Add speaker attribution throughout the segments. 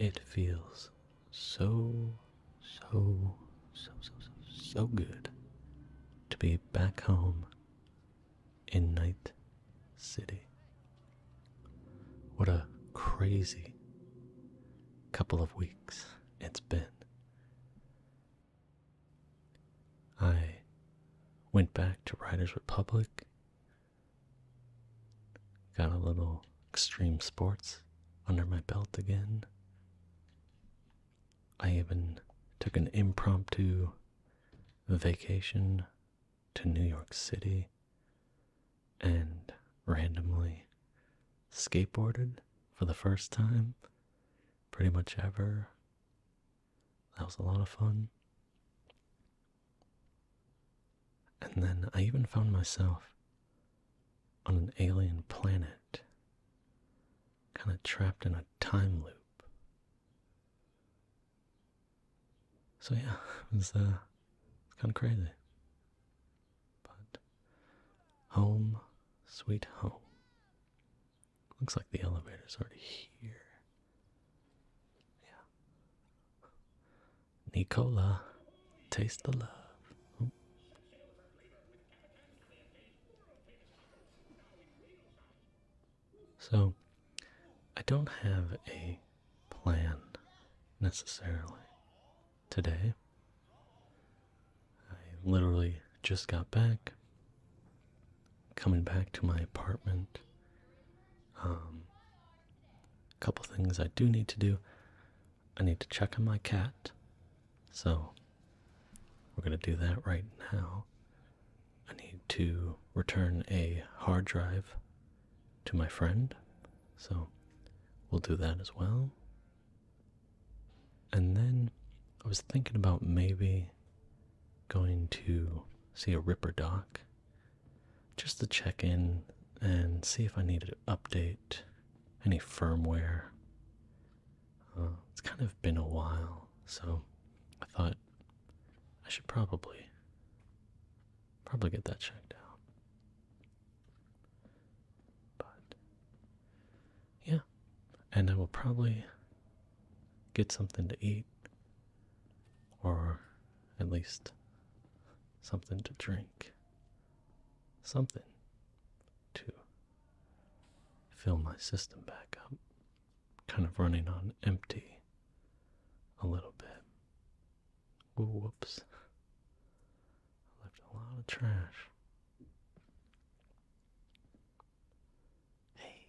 Speaker 1: It feels so, so, so, so, so, good to be back home in Night City. What a crazy couple of weeks it's been. I went back to Ryder's Republic Got a little extreme sports under my belt again. I even took an impromptu vacation to New York City and randomly skateboarded for the first time pretty much ever. That was a lot of fun. And then I even found myself on an alien planet, kind of trapped in a time loop. So yeah, it was uh, kind of crazy. But home, sweet home. Looks like the elevator's already here. Yeah. Nicola, taste the love. So, I don't have a plan necessarily today. I literally just got back, coming back to my apartment um, couple things I do need to do. I need to check on my cat, so we're gonna do that right now. I need to return a hard drive to my friend, so we'll do that as well. And then I was thinking about maybe going to see a Ripper doc just to check in and see if I need to update any firmware. Uh, it's kind of been a while, so I thought I should probably probably get that checked out. But yeah, and I will probably get something to eat or at least something to drink something to fill my system back up. Kind of running on empty a little bit. Ooh, whoops. I left a lot of trash. Hey,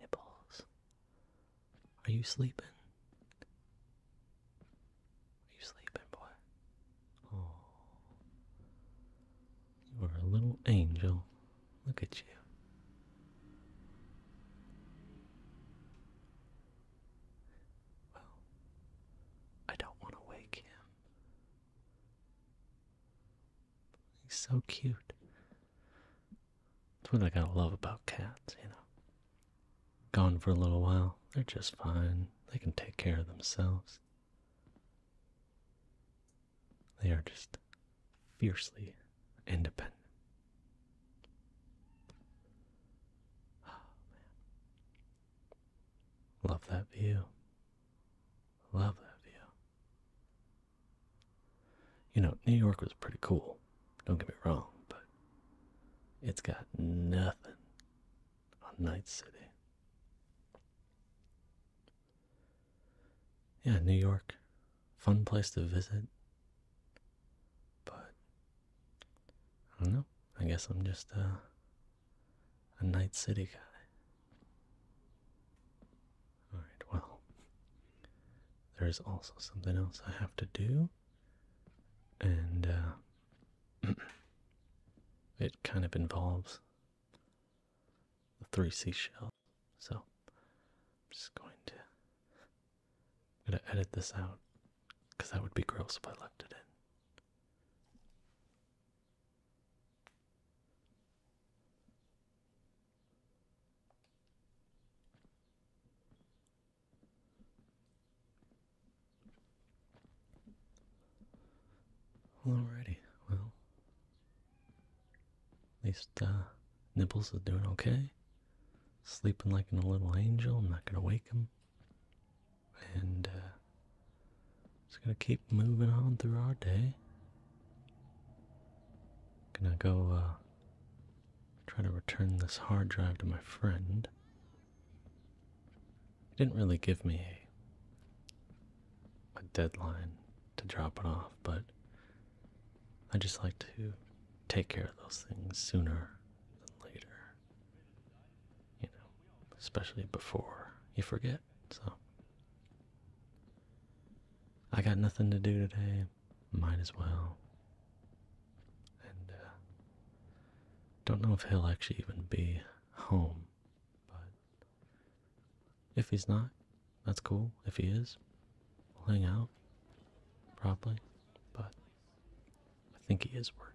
Speaker 1: nipples. Are you sleeping? Are you sleeping, boy? Oh, you are a little angel. Look at you. Well, I don't want to wake him. He's so cute. That's what I gotta love about cats, you know. Gone for a little while. They're just fine. They can take care of themselves. They are just fiercely independent. Oh, Love that view. Love that view. You know, New York was pretty cool. Don't get me wrong, but it's got nothing on Night City. Yeah, New York, fun place to visit, but I don't know. I guess I'm just a, uh, a Night City guy. Alright, well, there's also something else I have to do, and uh, it kind of involves the three seashells. So I'm just going to I'm gonna edit this out because that would be gross if I left it in. Alrighty, well, at least uh, Nibbles is doing okay. Sleeping like a little angel. I'm not gonna wake him, and uh, just gonna keep moving on through our day. Gonna go uh, try to return this hard drive to my friend. It didn't really give me a, a deadline to drop it off, but I just like to take care of those things sooner than later. You know, especially before you forget, so. I got nothing to do today. Might as well and uh, don't know if he'll actually even be home, but if he's not, that's cool. If he is, we'll hang out, probably, but I think he is working.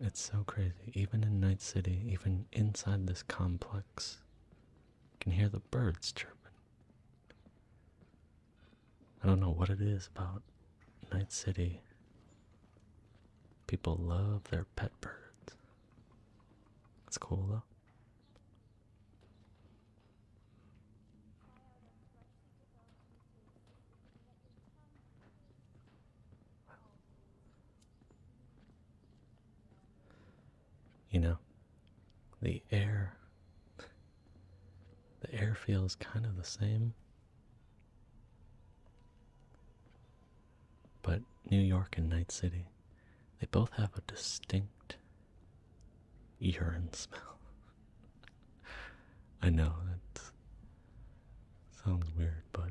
Speaker 1: It's so crazy. Even in Night City, even inside this complex, rocks. can hear the birds chirping. I don't know what it is about Night City. People love their pet birds. It's cool though. You know, the air, the air feels kind of the same. But New York and Night City, they both have a distinct urine smell. I know, that sounds weird, but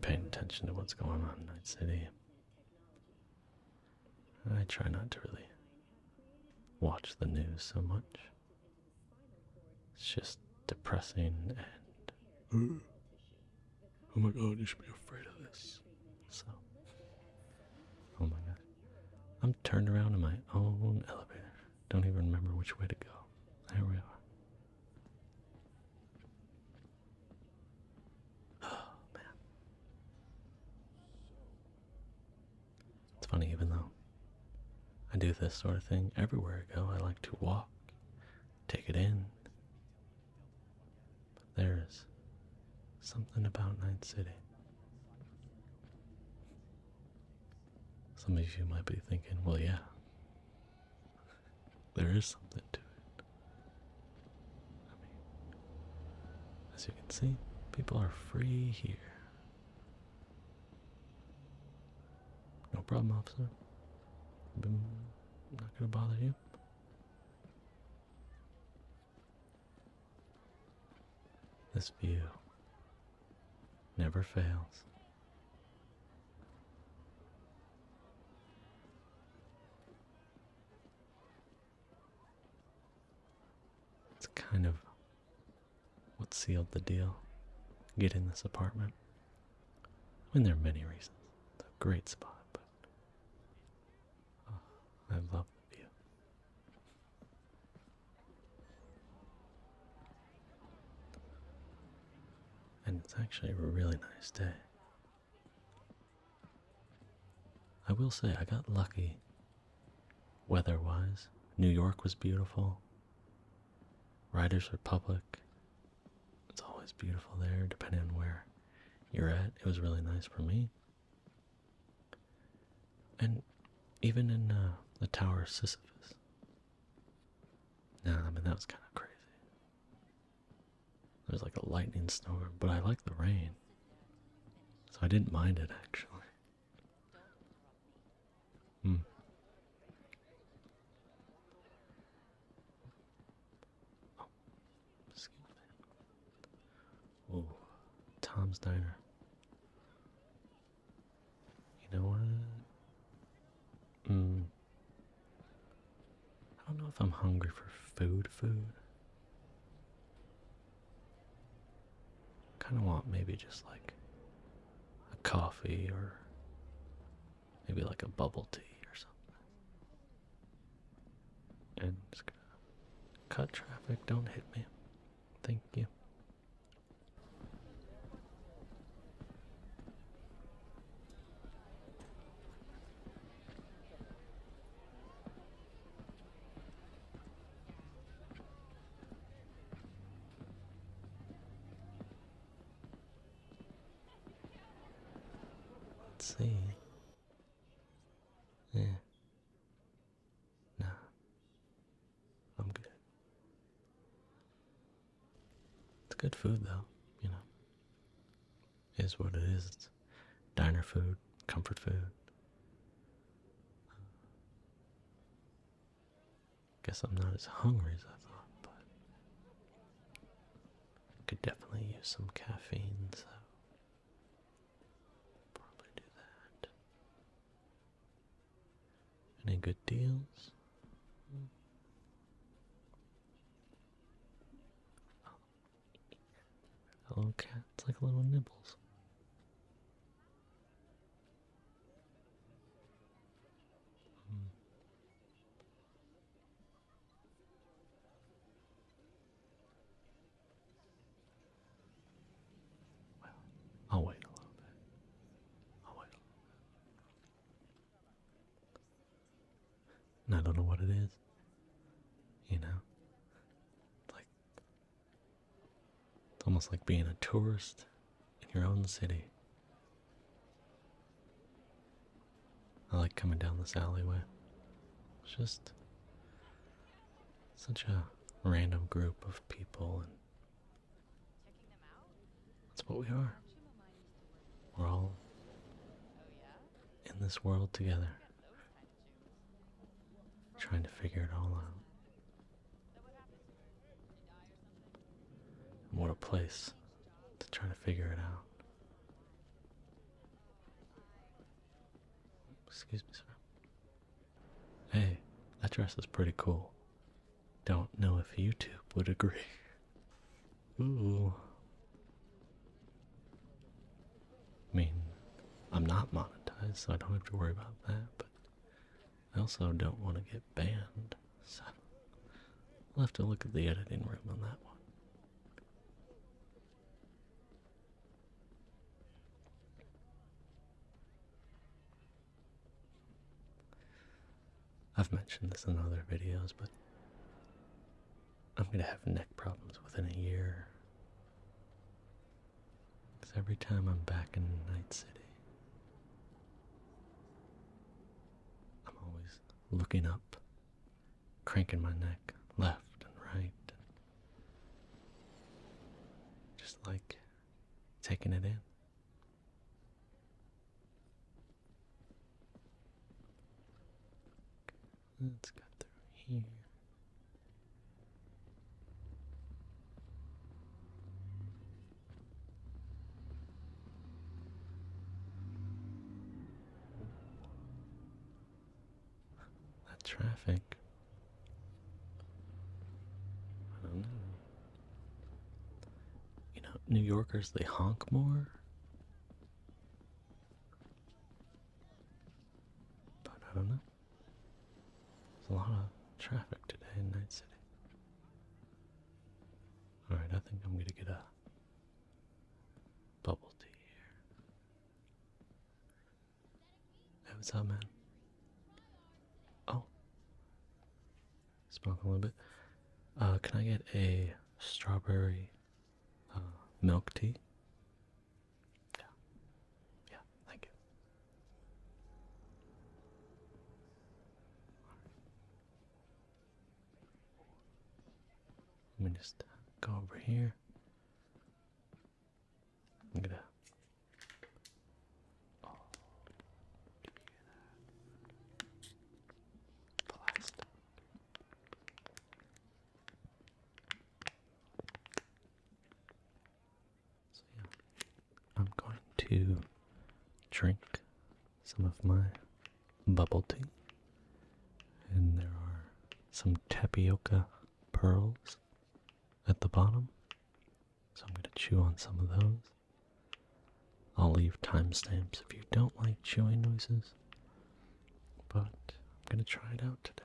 Speaker 1: paying attention to what's going on in Night City. I try not to really watch the news so much. It's just depressing and. Mm. Oh my god, you should be afraid of this. So. Oh my god. I'm turned around in my own elevator. Don't even remember which way to go. There we are. It's funny, even though I do this sort of thing everywhere I go, I like to walk, take it in. But there's something about Night City. Some of you might be thinking, well, yeah, there is something to it. as you can see, people are free here. No problem, officer. I'm not gonna bother you. This view never fails. It's kind of what sealed the deal. Get in this apartment. I mean, there are many reasons. a great spot, but uh, I love the view and it's actually a really nice day. I will say, I got lucky weather wise. New York was beautiful, Riders Republic, it's always beautiful there, depending on where you're at. It was really nice for me. And even in uh, the Tower of Sisyphus, no, I mean that was kind of crazy. There's like a lightning storm, but I like the rain, so I didn't mind it actually. Hmm. Oh, Tom's Diner. You know what? Mm. I don't know if I'm hungry for food, food. Kind of want maybe just like a coffee or maybe like a bubble tea or something. And cut traffic, don't hit me. Thank you. Let's see. Yeah. Nah. I'm good. It's good food though, you know. Is what it is. It's diner food, comfort food. Guess I'm not as hungry as I thought, but could definitely use some caffeine, so probably do that. Any good deals? Oh, it's like little nibbles. Hmm. Well, I'll wait a little bit. I'll wait and I don't know what it is. You know? It's like it's almost like being a tourist in your own city. I like coming down this alleyway. It's just such a random group of people and that's what we are. We're all in this world together, trying to figure it all out. what a place to try to figure it out. Excuse me, sir. Hey, that dress is pretty cool. Don't know if YouTube would agree. Ooh. I mean, I'm not monetized, so I don't have to worry about that, but I also don't want to get banned, so I'll have to look at the editing room on that one. I've mentioned this in other videos, but I'm gonna have neck problems within a year. Because every time I'm back in Night City, I'm always looking up, cranking my neck left and right, and just like taking it in. Let's cut through here. That traffic. I don't know. You know, New Yorkers, they honk more. But I don't know. There's a lot of traffic today in Night City. Alright, I think I'm gonna get a bubble tea here. Hey, what's up, man? Oh smoke a little bit. Uh, can I get a strawberry uh, milk tea? Yeah. Yeah, thank you. Let me just go over here. Look at that. Oh. So yeah, I'm going to drink some of my bubble tea, and there are some tapioca pearls at the bottom. So I'm going to chew on some of those. I'll leave timestamps if you don't like chewing noises. But I'm gonna try it out today.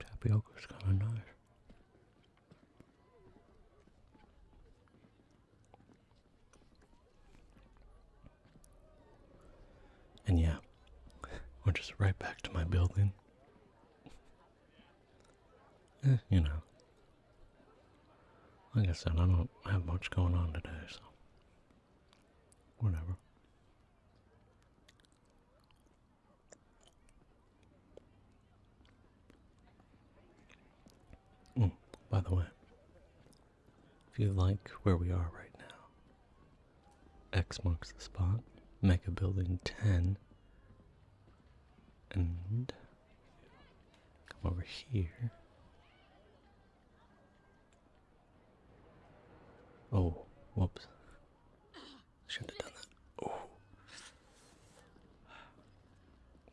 Speaker 1: Tapioca is kind of nice. And yeah, we're just right back to my building. Eh, you know. Like I said, I don't have much going on today, so. Whatever. Mm, by the way, if you like where we are right now, X marks the spot, Mega Building 10, and come over here. Oh, whoops. Shouldn't have done that. Oh.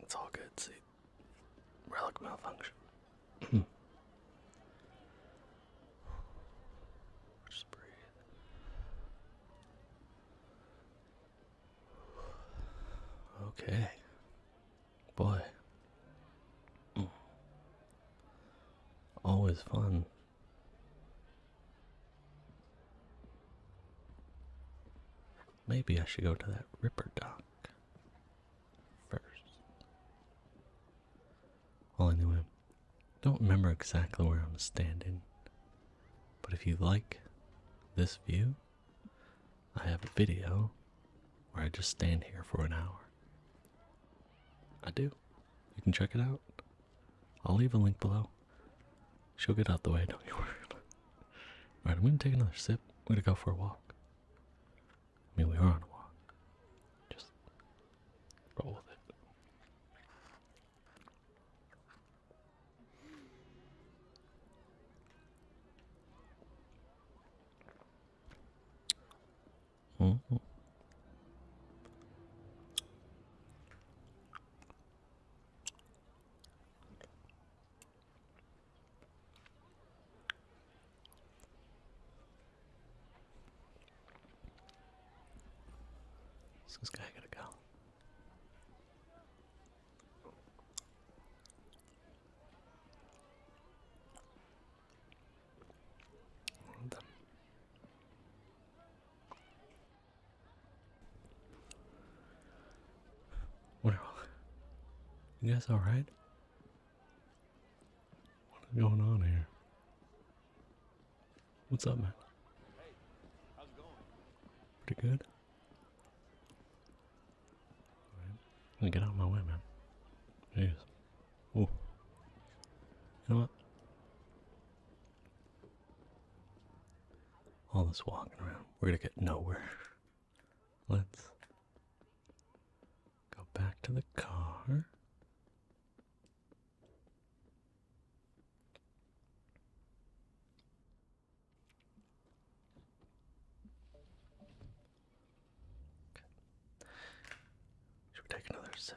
Speaker 1: It's all good, see. Relic malfunction. Hmm. Okay. Boy. Hmm. Always fun. Maybe I should go to that Ripper dock first. Well, anyway, don't remember exactly where I'm standing, but if you like this view, I have a video where I just stand here for an hour. I do. You can check it out. I'll leave a link below. She'll get out the way, don't you worry. Alright, I'm gonna take another sip. I'm gonna go for a walk. I mean, we are on a walk. Just roll with it. -hmm this guy gotta go. All of What you guys alright? What is going on here? What's up, man? Hey, how's it going? Pretty good. All right. Get out of my way, man. Jeez. Oh. You know what? All this walking around, we're gonna get nowhere. Let's go back to the car. Should we take another sip?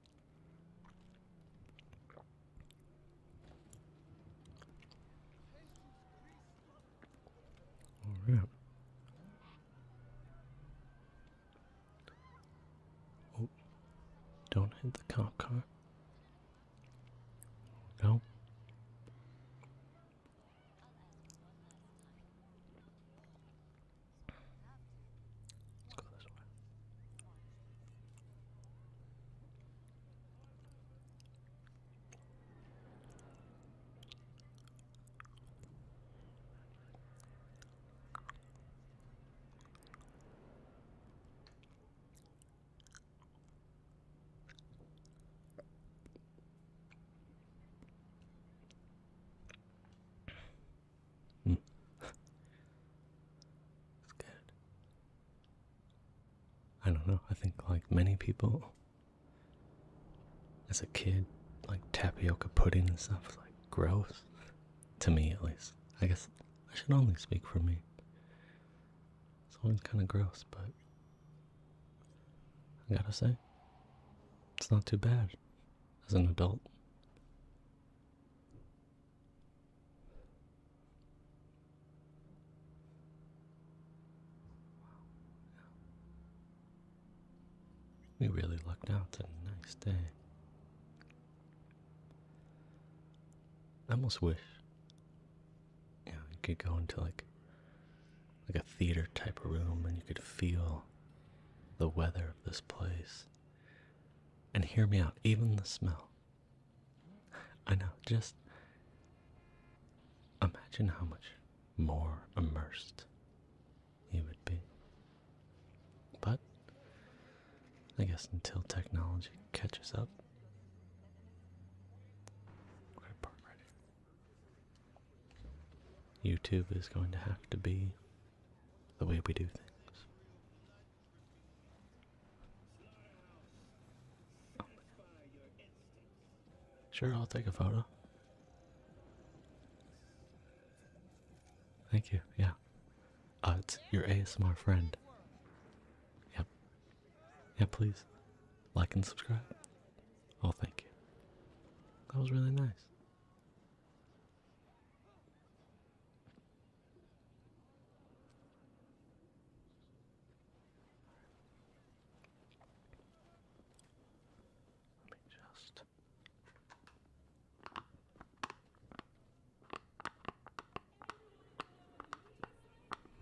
Speaker 1: Oh, All right. Oh, don't hit the cop car. No. Mm. it's good. I don't know, I think like many people as a kid, like tapioca pudding and stuff was like gross. To me at least. I guess I should only speak for me. It's always kinda gross, but I gotta say, it's not too bad as an adult. We really lucked out tonight. Nice day. I almost wish, you know, you could go into like, like a theater type of room and you could feel the weather of this place. And hear me out, even the smell. I know, just imagine how much more immersed you would be. But I guess until technology catches up. YouTube is going to have to be the way we do things. Sure, I'll take a photo. Thank you. Yeah. Uh, it's your ASMR friend. Yep. Yeah, please. Like and subscribe. Oh, thank you. That was really nice. Let me just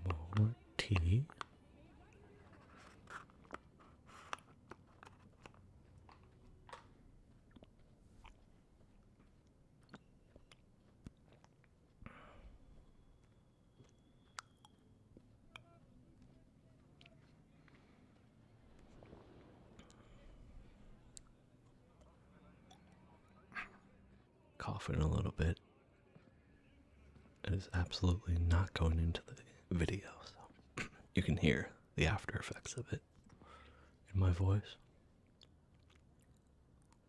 Speaker 1: more tea. Coughing a little bit. It is absolutely not going into the video, so you can hear the after effects of it in my voice.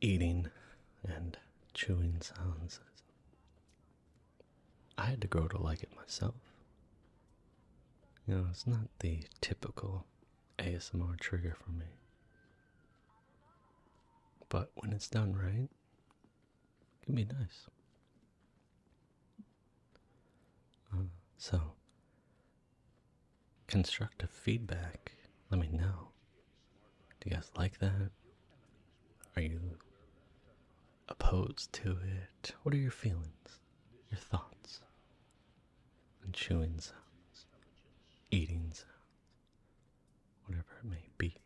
Speaker 1: eating and chewing sounds. I had to grow to like it myself. You know, it's not the typical ASMR trigger for me. But when it's done right, it can be nice. Uh, so, constructive feedback, let me know. Do you guys like that? Are you opposed to it? What are your feelings, your thoughts? And chewing sounds, eating sounds, whatever it may be.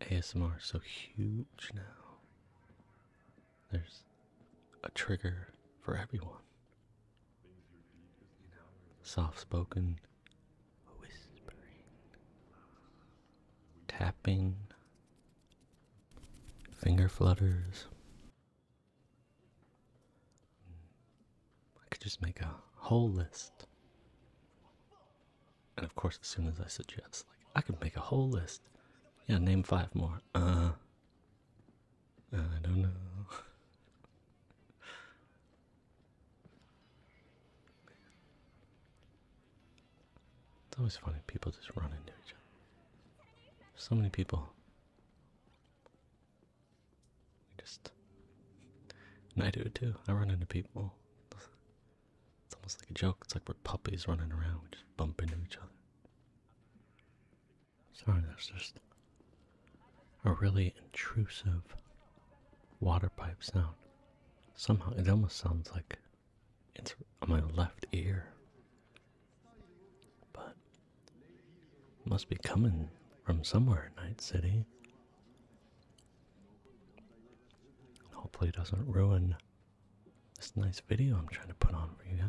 Speaker 1: ASMR is so huge now. There's a trigger for everyone soft spoken, whispering, tapping, finger flutters. I could just make a whole list. And of course, as soon as I suggest, like, I could make a whole list. Yeah, name five more. Uh, uh, I don't know. It's always funny people just run into each other. So many people. We just. And I do too. I run into people. It's almost like a joke. It's like we're puppies running around. We just bump into each other. Sorry, that's just a really intrusive water pipe sound. Somehow it almost sounds like it's on my left ear. But must be coming from somewhere in Night City. Hopefully it doesn't ruin this nice video I'm trying to put on for you guys.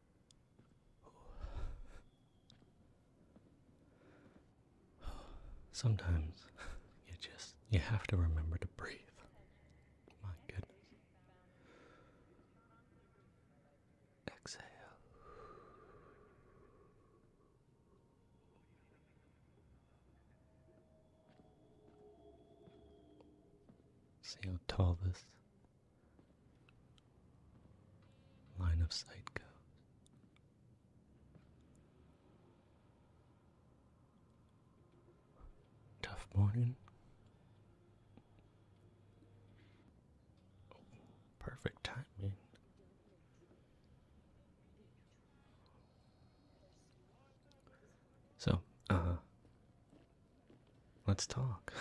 Speaker 1: Sometimes you just you have to remember to breathe. My goodness. Exhale. See how tall this line of sight goes. Tough morning. Oh, perfect timing. So, uh, Let's talk.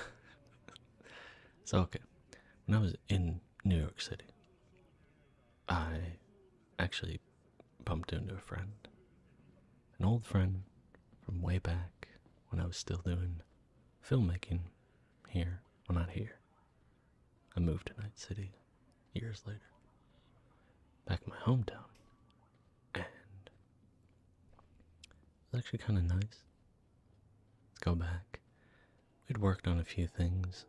Speaker 1: so, okay, when I was in New York City, I actually bumped into a friend, an old friend from way back when I was still doing filmmaking here. Well, not here. I moved to Night City years later, back in my hometown, and it was actually kind of nice. Let's go back. We'd worked on a few things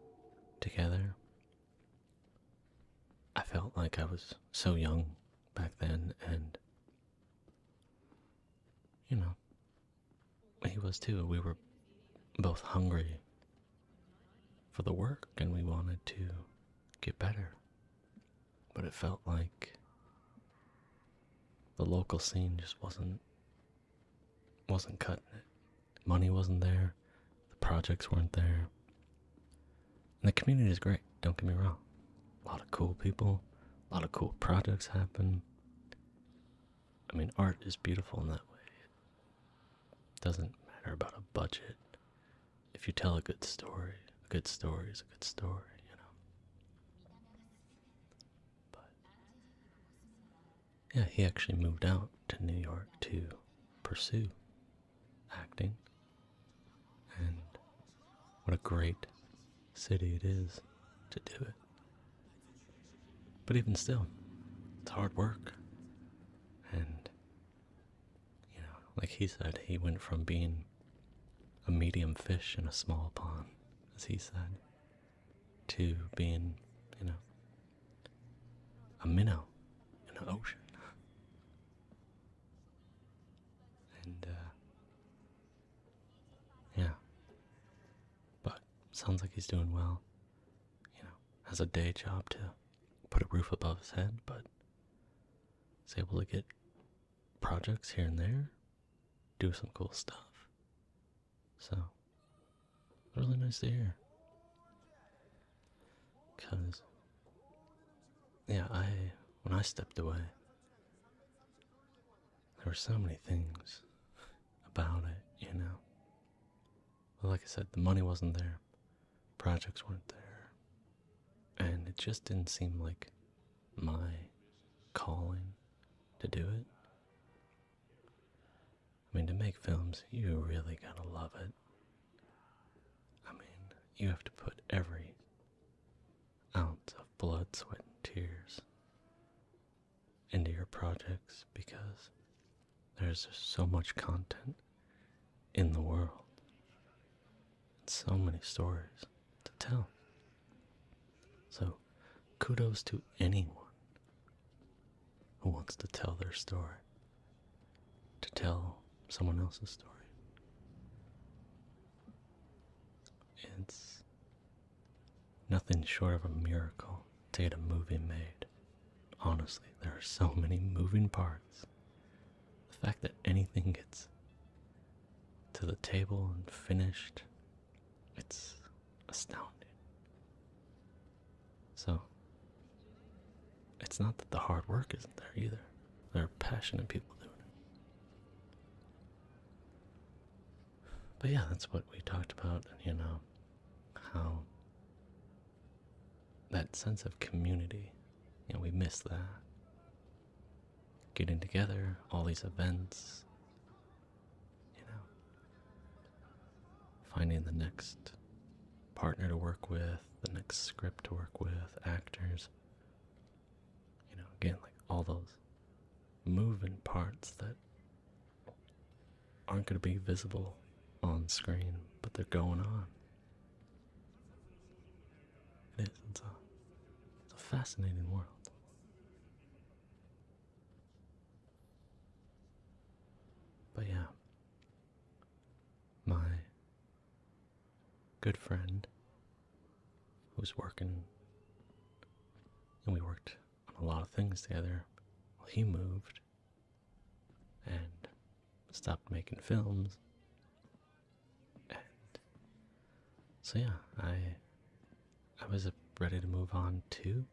Speaker 1: together. I felt like I was so young back then, and you know, he was too. We were both hungry for the work and we wanted to get better. But it felt like the local scene just wasn't wasn't cutting it. Money wasn't there, the projects weren't there. And the community is great, don't get me wrong. A lot of cool people, a lot of cool projects happen. I mean, art is beautiful in that way. It doesn't matter about a budget. If you tell a good story, a good story is a good story, you know. But yeah, he actually moved out to New York to pursue acting. And what a great city it is to do it. But even still, it's hard work. And, you know, like he said, he went from being a medium fish in a small pond, as he said, to being, you know, a minnow in the ocean. And, uh, yeah. But sounds like he's doing well. You know, has a day job to put a roof above his head, but is able to get projects here and there, do some cool stuff. So, really nice to hear. Cause, yeah, I when I stepped away, there were so many things about it, you know. Well, like I said, the money wasn't there, projects weren't there, and it just didn't seem like my calling to do it. I mean, to make films, you really gotta love it. I mean, you have to put every ounce of blood, sweat, and tears into your projects because there's so much content in the world, and so many stories to tell. So, kudos to anyone who wants to tell their story, to tell someone else's story. It's nothing short of a miracle to get a movie made. Honestly, there are so many moving parts. The fact that anything gets to the table and finished it's astounding. So, it's not that the hard work isn't there either. There are passionate people doing it. But yeah, that's what we talked about, and you know, how that sense of community, you we miss that getting together, all these events, you know, finding the next partner to work with, the next script to work with, actors, you know, again, like all those moving parts that aren't going to be visible on screen, but they're going on. It is. it's a fascinating world. But yeah, my good friend who's working, and we worked on a lot of things together, well, he moved and stopped making films. And so yeah, I I was ready to move on too.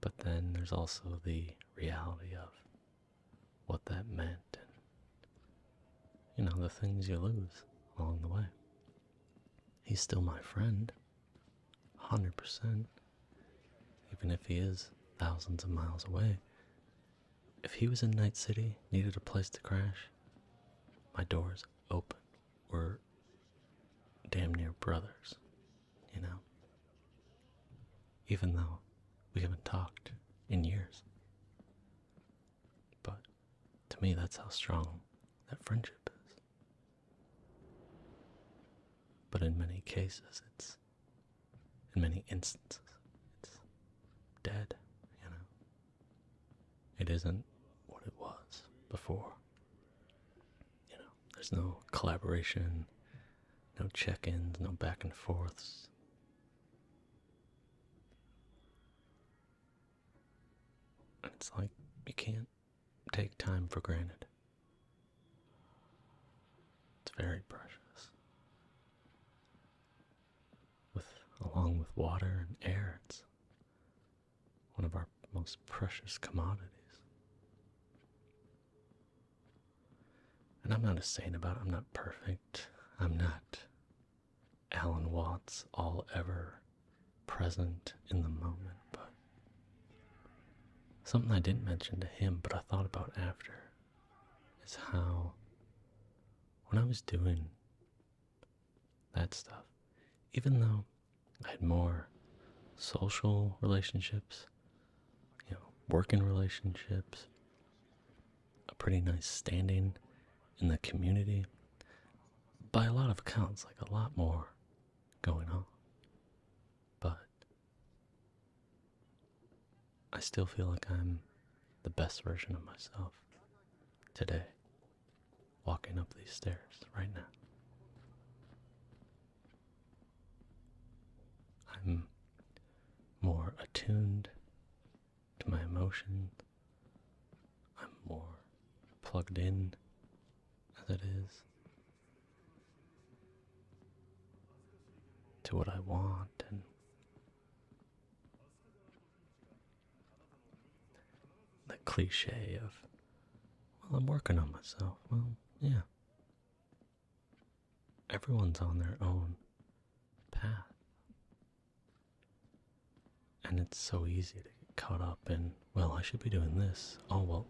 Speaker 1: But then there's also the reality of what that meant and, you know, the things you lose along the way. He's still my friend, 100%, even if he is thousands of miles away. If he was in Night City, needed a place to crash, my door's open were damn near brothers, you know? Even though we haven't talked in years. But to me, that's how strong that friendship is. But in many cases, it's, in many instances, it's dead, you know? It isn't what it was before. You know, there's no collaboration, no check ins, no back and forths. it's like you can't take time for granted. It's very precious. With along with water and air, it's one of our most precious commodities. And I'm not a saint about it, I'm not perfect, I'm not Alan Watts, all ever present in the moment, but something I didn't mention to him, but I thought about after is how when I was doing that stuff. Even though I had more social relationships, you know, working relationships, a pretty nice standing in the community, by a lot of accounts, like a lot more going on. But I still feel like I'm the best version of myself today, walking up these stairs right now. I'm more attuned to my emotions. I'm more plugged in as it is to what I want and the cliche of, well, I'm working on myself. Well, yeah. Everyone's on their own path. And it's so easy to get caught up in, well, I should be doing this. Oh, well,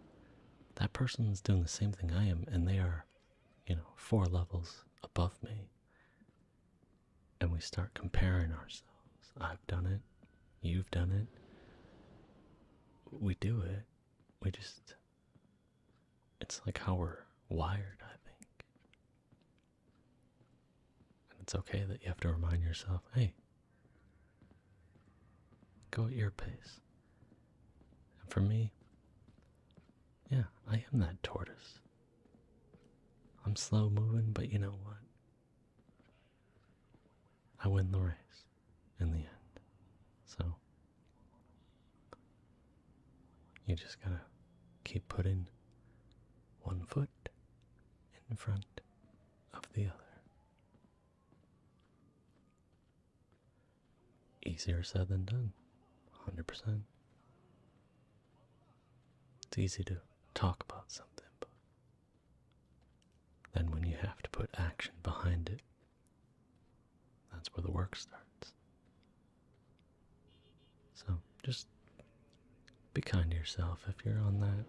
Speaker 1: that person's doing the same thing I am, and they are, you know, four levels above me and we start comparing ourselves. I've done it, you've done it. We do it. We just. It's like how we're wired, I think. And it's okay that you have to remind yourself hey, go at your pace. And for me, yeah, I am that tortoise. I'm slow moving, but you know what? I win the race in the end. So you just gotta keep putting one foot in front of the other. Easier said than done, 100%. It's easy to talk about something, but then when you have to put action behind it, that's where the work starts. So just be kind to yourself if you're on that.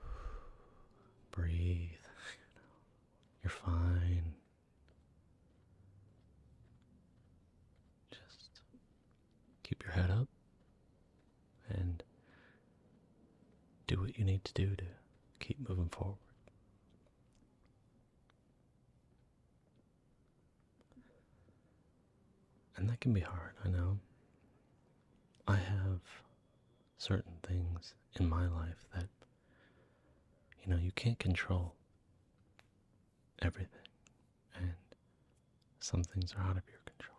Speaker 1: Breathe, you are fine. Just keep your head up and do what you need to do to keep moving forward. And that can be hard, I know. I have certain things in my life that, you know, you can't control everything, and some things are out of your control.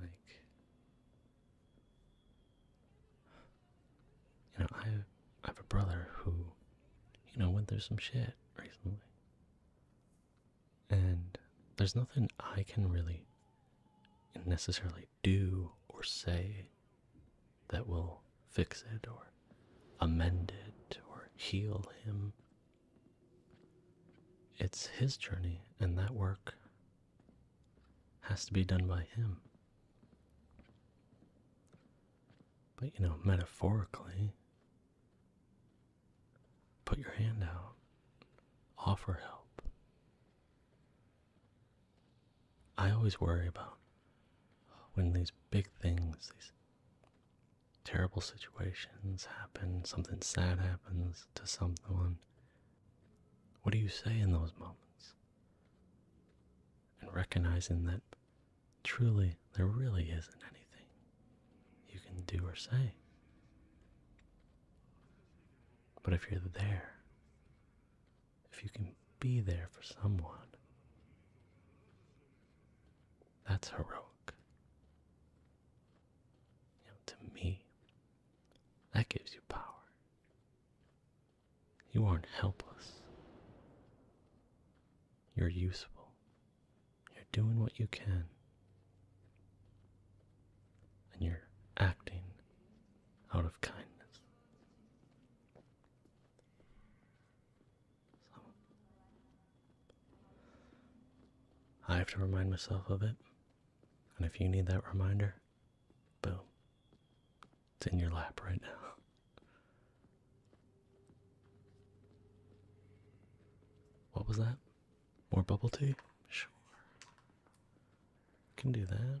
Speaker 1: Like, you know, I have, I have a brother who, you know, went through some shit recently. And there's nothing I can really necessarily do or say that will fix it or amend it or heal him. It's his journey, and that work has to be done by him. But you know, metaphorically, put your hand out, offer help. I always worry about when these big things, these terrible situations happen, something sad happens to someone, what do you say in those moments? And recognizing that truly there really isn't anything you can do or say. But if you're there, if you can be there for someone, that's heroic. You to me, that gives you power. You aren't helpless. You're useful. You're doing what you can. And you're acting out of kindness. I have to remind myself of it. And if you need that reminder, boom. It's in your lap right now. What was that? More bubble tea? Sure. Can do that.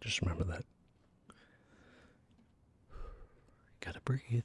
Speaker 1: Just remember that. Gotta breathe.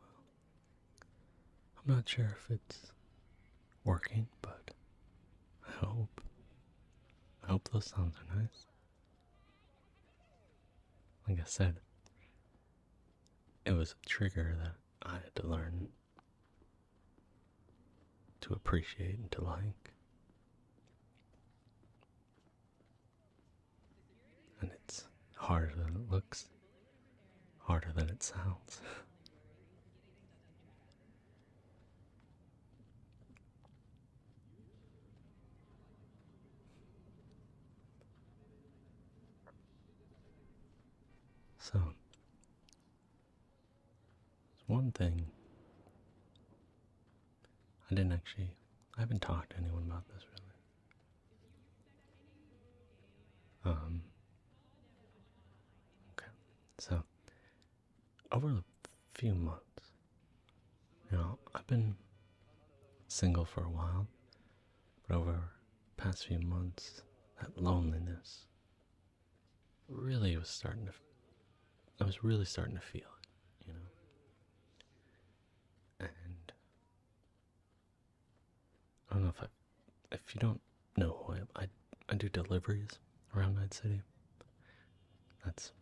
Speaker 1: Well, I'm not sure if it's working, but I hope. I hope those sounds are nice. Like I said, it was a trigger that I had to learn to appreciate and to like. And it's harder than it looks Harder than it sounds. so, it's one thing. I didn't actually, I haven't talked to anyone about this really. Um, Okay, so over the few months, you know, I've been single for a while, but over past few months, that loneliness really was starting to. I was really starting to feel it, you know. And I don't know if I, if you don't know who I am, I, I do deliveries around Night City. That's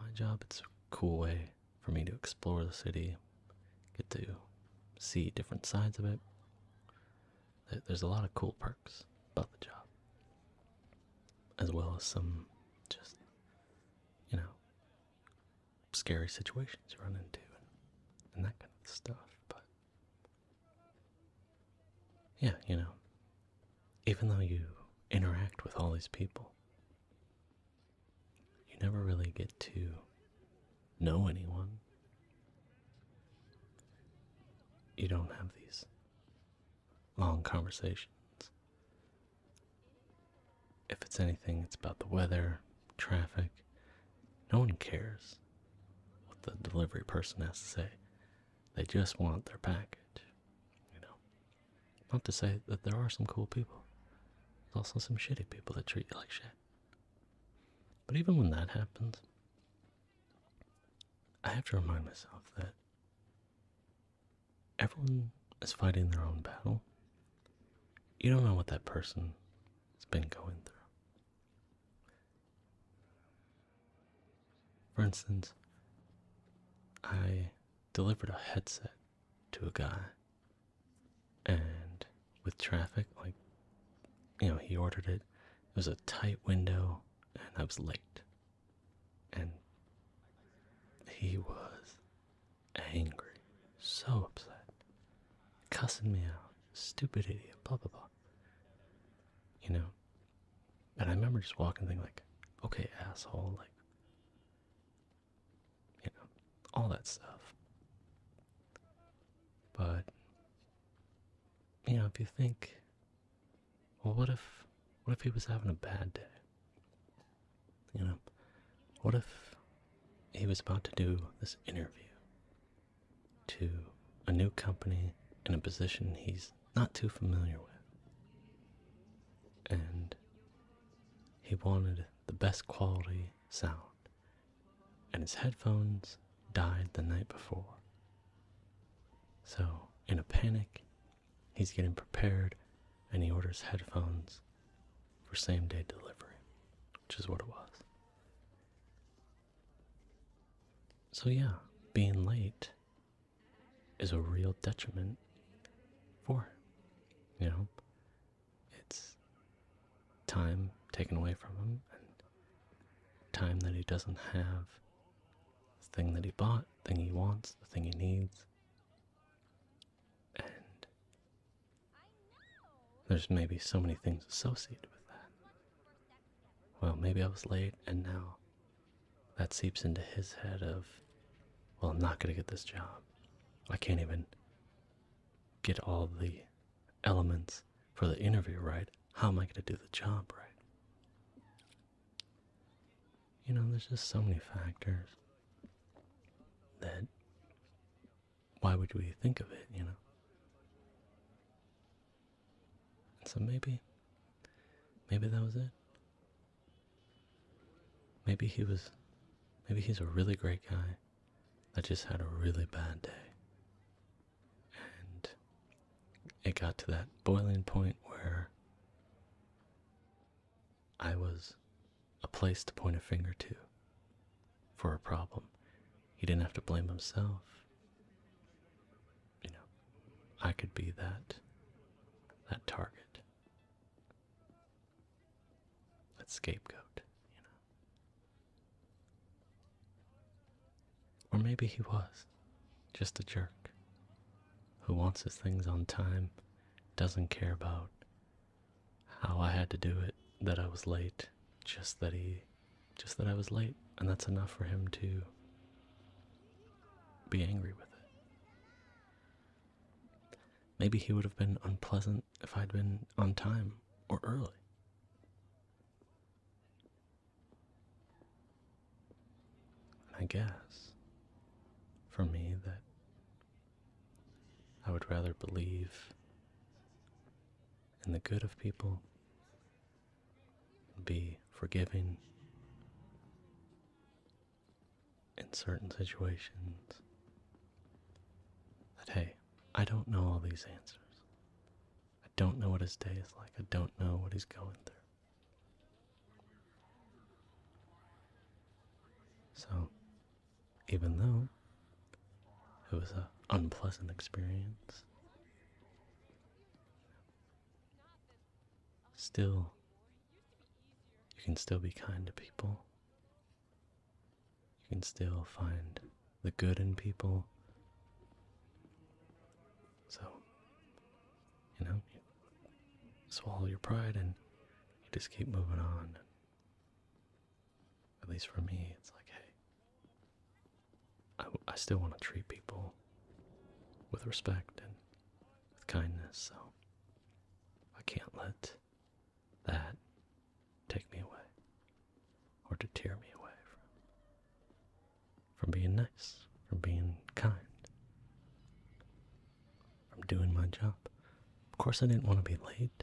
Speaker 1: my job. It's a cool way for me to explore the city, get to see different sides of it. There's a lot of cool perks about the job, as well as some just, you know, scary situations you run into and that kind of stuff. But yeah, you know, even though you interact with all these people, you never really get to know anyone. You don't have these long conversations. If it's anything, it's about the weather, traffic. No one cares what the delivery person has to say. They just want their package, you know. Not to say that there are some cool people. There's also some shitty people that treat you like shit. But even when that happens, I have to remind myself that everyone is fighting their own battle. You don't know what that person has been going through. For instance, I delivered a headset to a guy, and with traffic, like, you know, he ordered it. It was a tight window, and I was late. And he was angry, so upset, cussing me out, stupid idiot, blah blah blah. You know? And I remember just walking thinking like, okay, asshole, like you know, all that stuff. But you know, if you think well what if what if he was having a bad day? You know, what if he was about to do this interview to a new company in a position he's not too familiar with. And he wanted the best quality sound. And his headphones died the night before. So, in a panic, he's getting prepared and he orders headphones for same day delivery, which is what it was. So, yeah, being late is a real detriment for, you know, it's time taken away from him and time that he doesn't have, the thing that he bought, the thing he wants, the thing he needs. And there's maybe so many things associated with that. Well, maybe I was late, and now that seeps into his head of, well, I'm not going to get this job. I can't even get all the elements for the interview right. How am I going to do the job right? You know, there's just so many factors that why would we think of it, you know? so maybe, maybe that was it. Maybe he was, maybe he's a really great guy that just had a really bad day. And it got to that boiling point where I was a place to point a finger to for a problem. He didn't have to blame himself. You know, I could be that that target. That scapegoat, you know. Or maybe he was just a jerk who wants his things on time, doesn't care about how I had to do it, that I was late, just that he just that I was late, and that's enough for him to be angry with it. Maybe he would have been unpleasant if I'd been on time or early. And I guess for me that I would rather believe in the good of people be forgiving in certain situations. That, hey, I don't know all these answers. I don't know what his day is like. I don't know what he's going through. So, even though it was an unpleasant experience. Still, you can still be kind to people. You can still find the good in people. So, you know, swallow your pride and just keep moving on at least for me, it's like, hey, I, still want to treat people with respect and with kindness, so I can't let that take me away or to tear me away from, from being nice, from being kind, from doing my job. Of course, I didn't want to be late.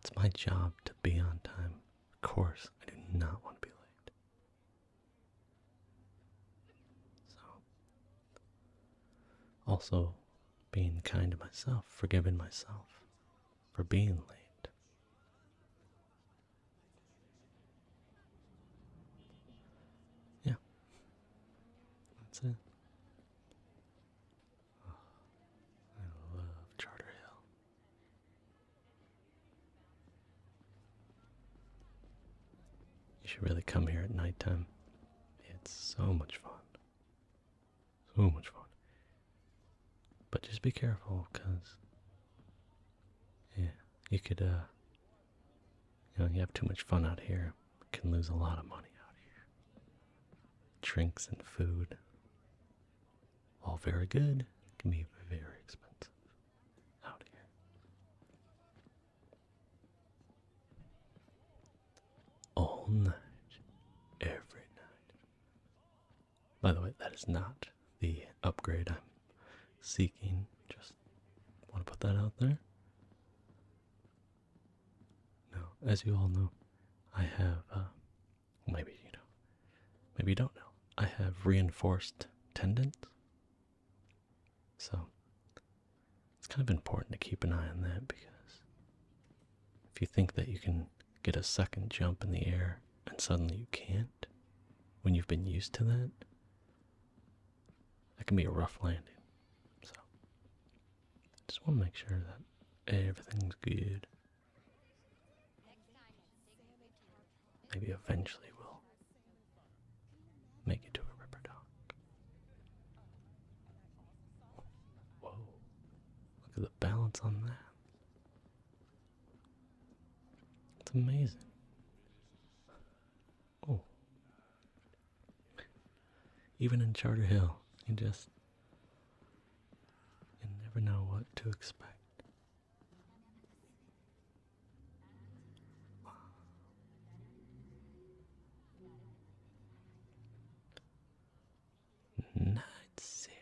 Speaker 1: It's my job to be on time of course, I do not want to be late. So, also being kind to myself, forgiving myself for being late. Yeah, that's it. I love Charter Hill. You should really come here at nighttime. It's so much fun. So much fun. But just be careful, because, yeah, you could, uh, you know, you have too much fun out here. can lose a lot of money out here. Drinks and food. All very good, can be very expensive out here. All night, every night. By the way, that is not the upgrade I'm seeking. Just want to put that out there. No, as you all know, I have uh, Maybe you know. Maybe you don't know. I have reinforced tendons. So it's kind of important to keep an eye on that because if you think that you can get a second jump in the air and suddenly you can't when you've been used to that, that can be a rough landing. So I just want to make sure that everything's good. Maybe eventually we'll make it to a river dock. Whoa. Look at the balance on that. It's amazing. Oh. Even in Charter Hill, you just you never know what to expect. Night City.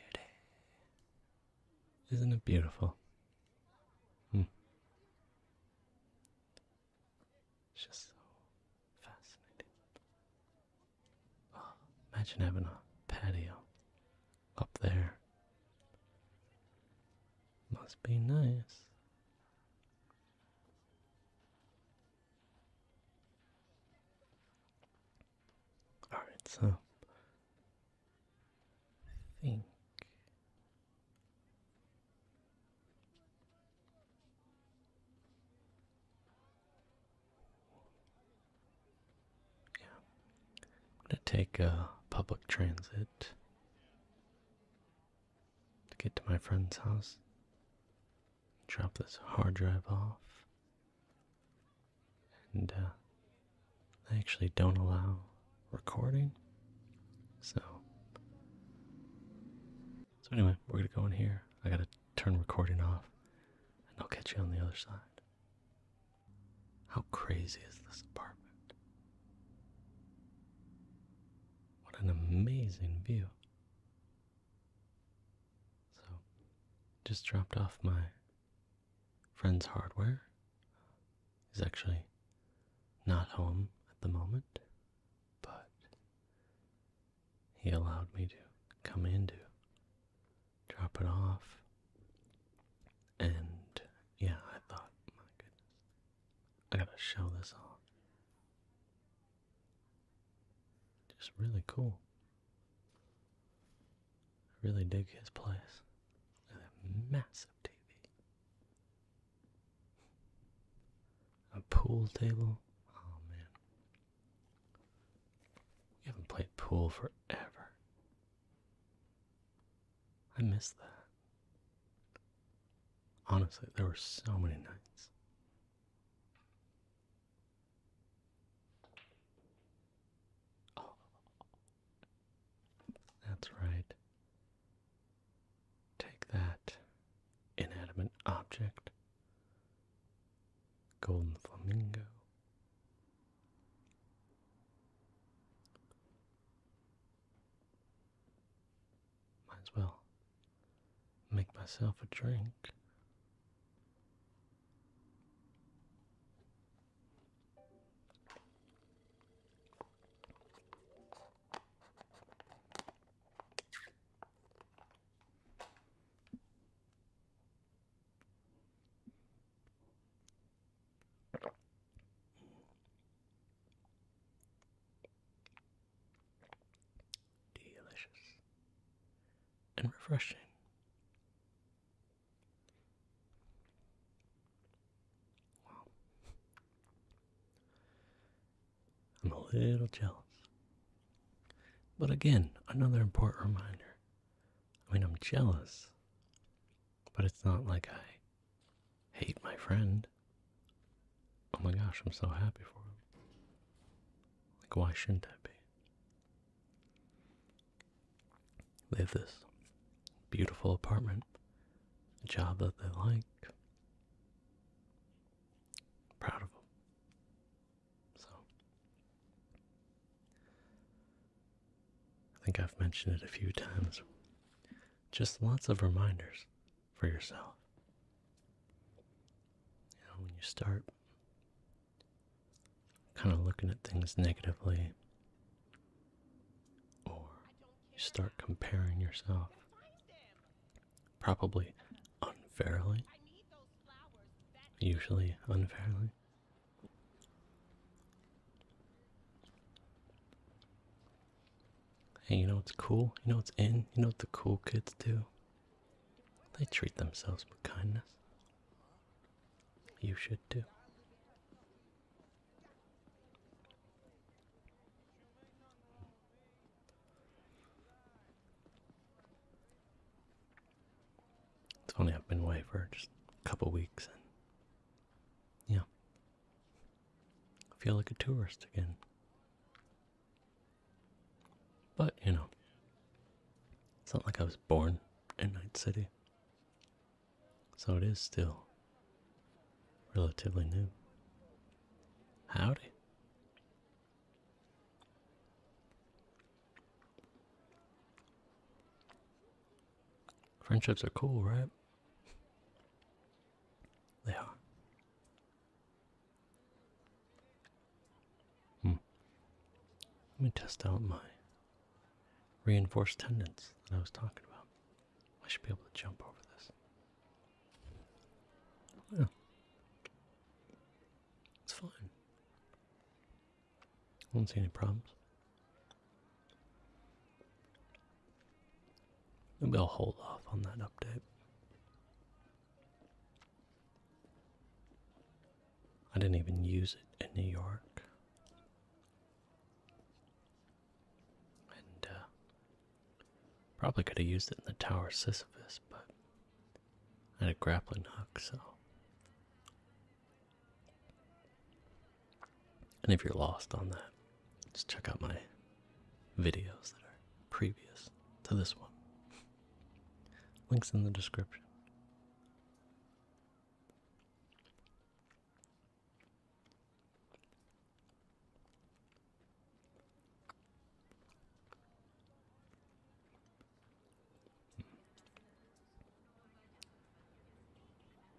Speaker 1: Isn't it beautiful? Hmm. It's just so fascinating. Oh, imagine having a patio up there. Must be nice. Alright, so I think yeah. I'm going to take uh, public transit to get to my friend's house. Drop this hard drive off. And they uh, actually don't allow recording. So. So anyway, we're gonna go in here. I gotta turn recording off, and I'll catch you on the other side. How crazy is this apartment? What an amazing view. So, just dropped off my friend's hardware. He's actually not home at the moment, but he allowed me to come into drop it off. And yeah, I thought, my goodness, I gotta show this off. Just really cool. I really dig his place. a massive TV. A pool table. Oh man. We haven't played pool forever. I miss that. Honestly, there were so many nights. That's right. Take that inanimate object, golden flamingo, might as well make myself a drink. Delicious and refreshing. Wow. I'm a little jealous. But again, another important reminder I mean, I'm jealous, but it's not like I hate my friend. Oh my gosh, I'm so happy for him. Like, why shouldn't I be? They have this beautiful apartment, a job that they like. Proud of them. So, I think I've mentioned it a few times. Just lots of reminders for yourself. when you start kind of looking at things negatively, or you start comparing yourself, probably unfairly, usually unfairly, Hey, you know what's cool? You know what's in? You know what the cool kids do? They treat themselves with kindness. You should too. It's only I've been away for just a couple weeks and yeah. I feel like a tourist again. But, you know, it's not like I was born in Night City. So it is still relatively new. Howdy. Friendships are cool, right? They are. Hmm. Let me test out my reinforced tendons that I was talking about. I should be able to jump over this. Yeah. It's fine. I don't see any problems. Maybe I'll hold off on that update. I didn't even use it in New York. And uh, probably could have used it in the Tower Sisyphus, but I had a grappling hook, so and if you're lost on that, just check out my videos that are previous to this one. Links in the description.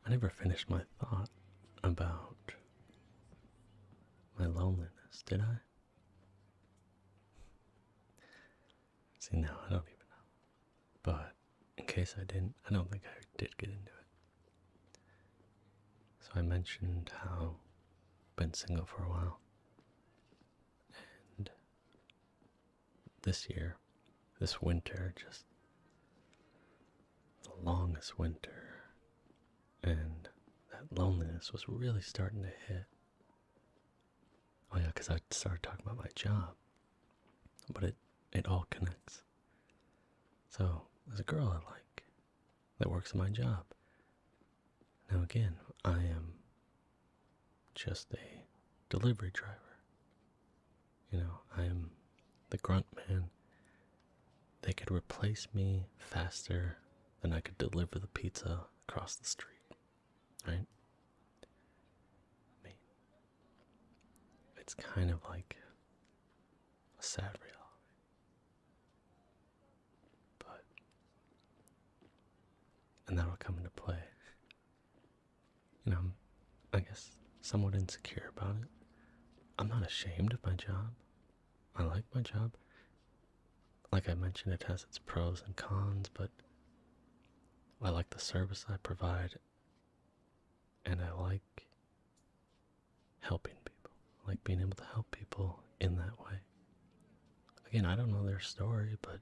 Speaker 1: I never finished my thought about my loneliness, did I? See, now I don't even know. But in case I didn't, I don't think I did get into it. So I mentioned how I've been single for a while. And this year, this winter, just the longest winter, and that loneliness was really starting to hit. Oh yeah, because I started talking about my job, but it it all connects. So there's a girl I like that works in my job. Now again, I am just a delivery driver. You know, I'm the grunt man. They could replace me faster than I could deliver the pizza across the street. Right? I it's kind of like a sad reality. But, and that'll come into play you know, I'm, I guess, somewhat insecure about it. I'm not ashamed of my job. I like my job. Like I mentioned, it has its pros and cons, but I like the service I provide, and I like helping people. I like being able to help people in that way. Again, I don't know their story, but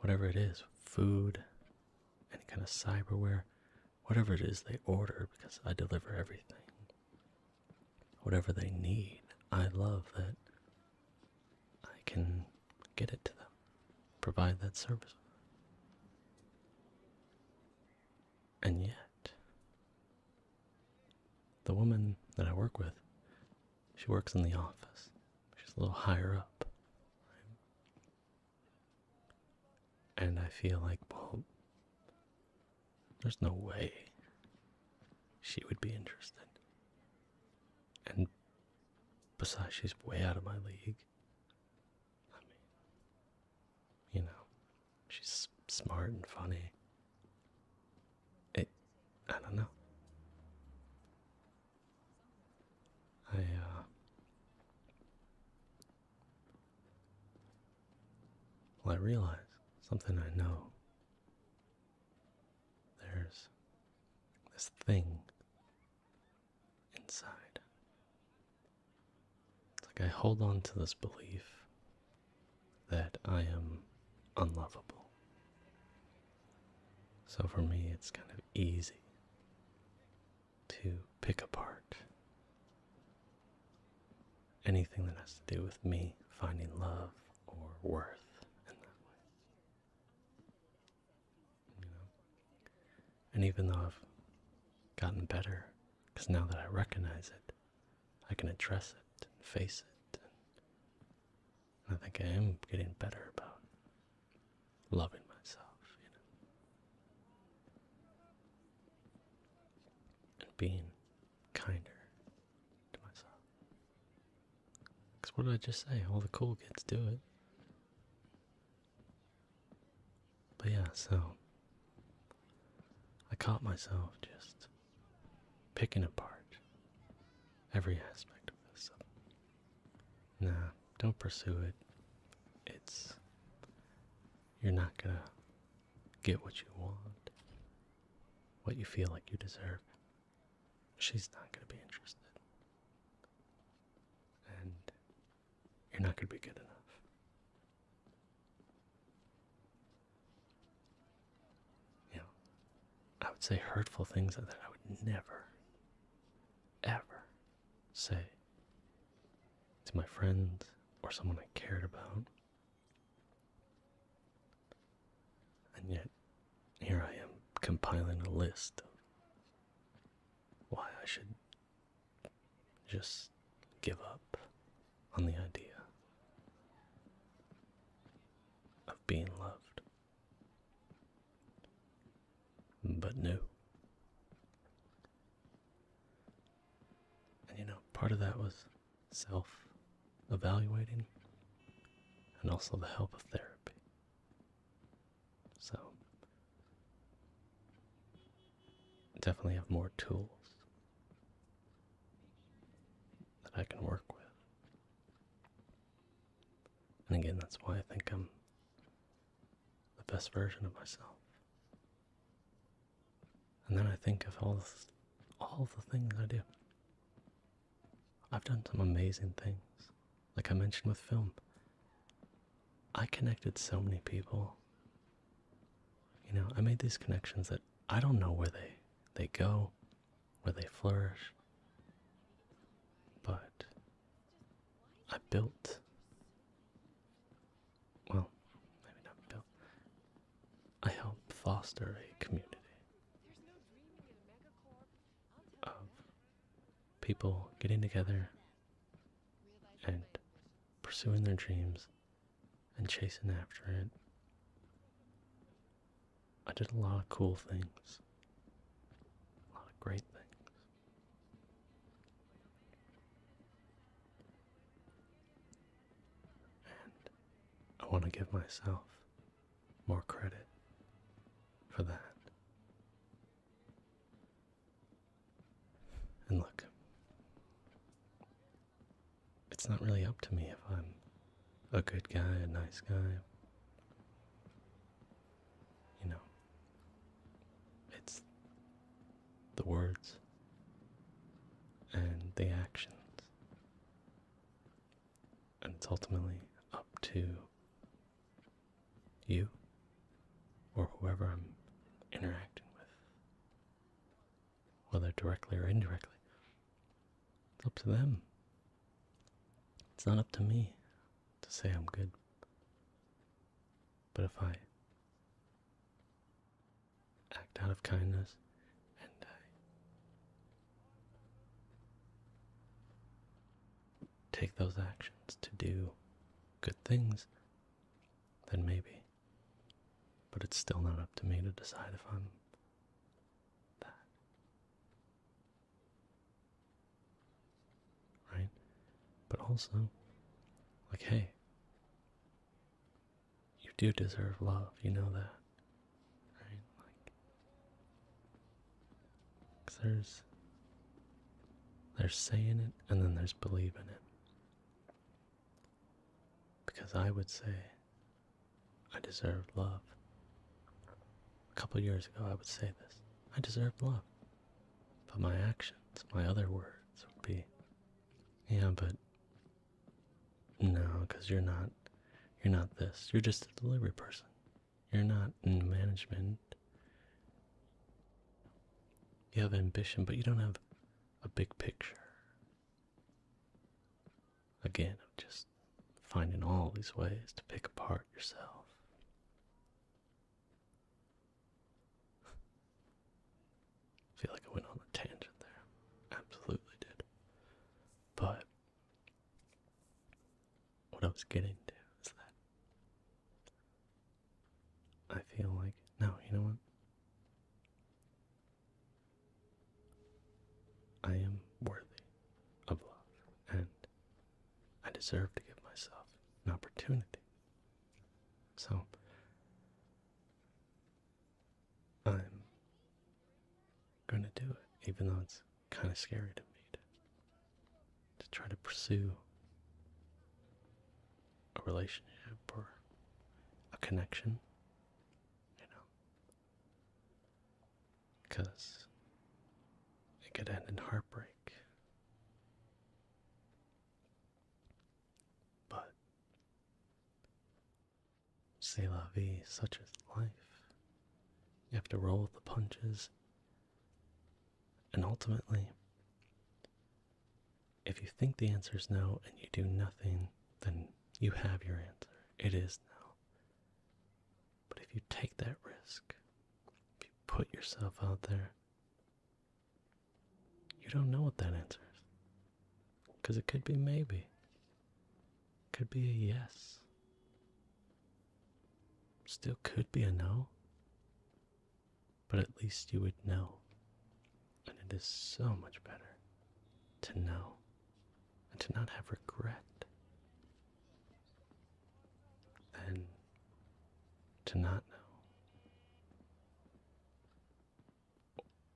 Speaker 1: whatever it is food, any kind of cyberware, whatever it is they order because I deliver everything. Whatever they need, I love that I can get it to them, provide that service. And yet, the woman that I work with she works in the office. She's a little higher up. And I feel like, well, there's no way she would be interested. And besides, she's way out of my league. I mean, you know, she's smart and funny. It, I don't know. I, uh, well, I realize something I know. There's this thing inside. It's like I hold on to this belief that I am unlovable. So for me, it's kind of easy to pick apart anything that has to do with me finding love or worth in that way. And even though I've gotten better, because now that I recognize it, I can address it and face it I think I am getting better about loving myself, you know, and being kinder to myself. Because what did I just say? All the cool kids do it. But yeah, so I caught myself just picking apart every aspect of this. Nah, don't pursue it. It's. You're not gonna get what you want, what you feel like you deserve. She's not gonna be interested. And you're not gonna be good enough. You know, I would say hurtful things that I would never ever say to my friends or someone I cared about. And yet, here I am compiling a list of why I should just give up on the idea of being loved. But new, And you know, part of that was self evaluating and also the help of therapy. So, definitely have more tools that I can work with. And again, that's why I think I'm the best version of myself. And then I think of all all the things I do. I've done some amazing things, like I mentioned with film. I connected so many people. You know, I made these connections that I don't know where they they go, where they flourish. But I built. Well, maybe not built. I helped foster a community of people getting together and pursuing their dreams and chasing after it I did a lot of cool things, a lot of great things. And I want to give myself more credit for that. And look, it's not really up to me if I'm a good guy, a nice guy you know, it's the words and the actions. And it's ultimately up to you or whoever I'm interacting with, whether directly or indirectly. It's up to them. It's not up to me to say I'm good. But if I act out of kindness and I take those actions to do good things, then maybe. But it's still not up to me to decide if I'm that. Right? But also, like, hey, you do deserve love, you know that. Right? Like, cause there's, there's saying it and then there's believing it. Because I would say, I deserve love. A couple years ago, I would say this. I deserve love. But my actions, my other words would be, yeah, but no, because you're not, you're not this. You're just a delivery person. You're not in management. You have ambition, but you don't have a big picture. Again, of just finding all these ways to pick apart yourself feel like I went on a tangent there. Absolutely did. But what I was getting to is that I feel like, no, you know what? I am worthy of love, and I deserve to give myself an opportunity. So, I'm going to do it, even though it's kind of scary to me to, try to pursue a relationship or a connection, you know because it could end in heartbreak. But c'est la vie, such is life. You have to roll with the punches. And ultimately, if you think the answer is no and you do nothing, then you have your answer. It is no. But if you take that risk, if you put yourself out there, you don't know what that answer is. Because it could be maybe, it could be a yes, still could be a no, but at least you would know. And it is so much better to know and to not have regret than to not know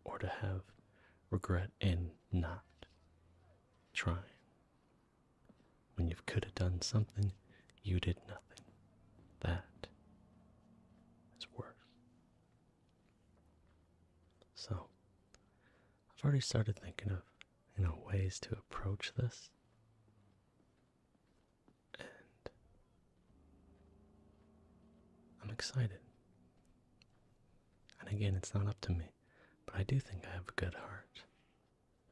Speaker 1: or to have regret in not trying when you could have done something you did nothing that is worse so i've already started thinking of you know, ways to approach this. And I'm excited. And again, it's not up to me, but I do think I have a good heart.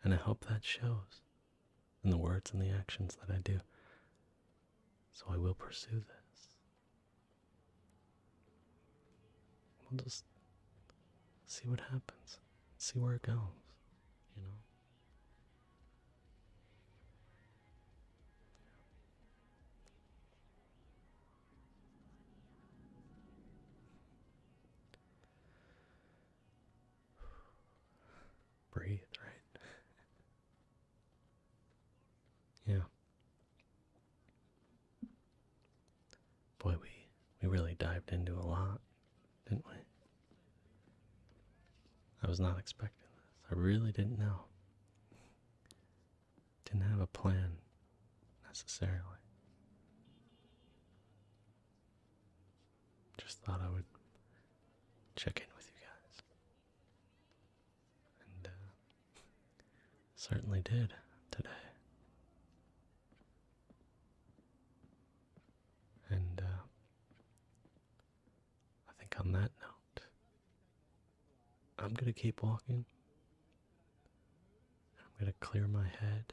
Speaker 1: And I hope that shows in the words and the actions that I do. So I will pursue this. We'll just see what happens see where it goes, you know. Breathe, right? yeah. Boy, we we really dived into a lot, didn't we? I was not expecting this. I really didn't know. Didn't have a plan necessarily. Just thought I would check in with you guys. And uh, certainly did today. And uh, I think on that note, I'm going to keep walking. I'm going to clear my head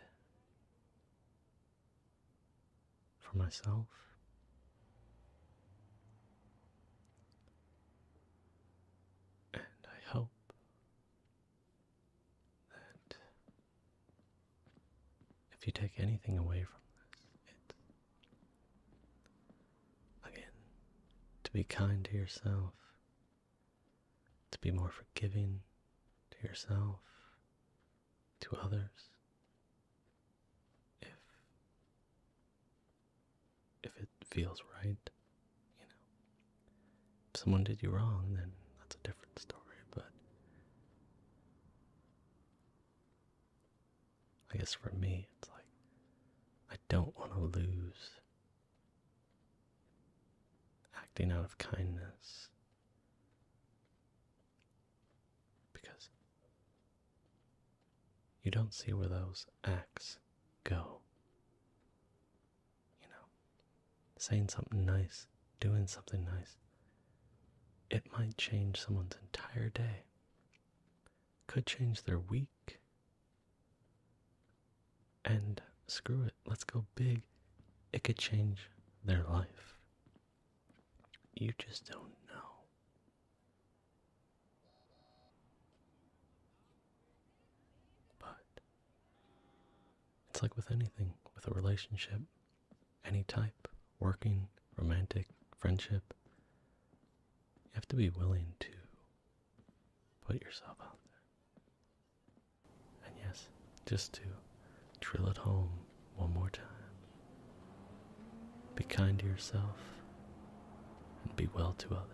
Speaker 1: for myself. And I hope that if you take anything away from this, it's again to be kind to yourself, to be more forgiving to yourself, to others. If if it feels right, you know. If someone did you wrong, then that's a different story, but I guess for me, it's like I don't want to lose acting out of kindness because you don't see where those acts go. You know, saying something nice, doing something nice, it might change someone's entire day. Could change their week. And screw it, let's go big. It could change their life. You just don't know. But it's like with anything, with a relationship, any type, working, romantic, friendship, you have to be willing to put yourself out there. And yes, just to drill it home one more time. Be kind to yourself and be well to others.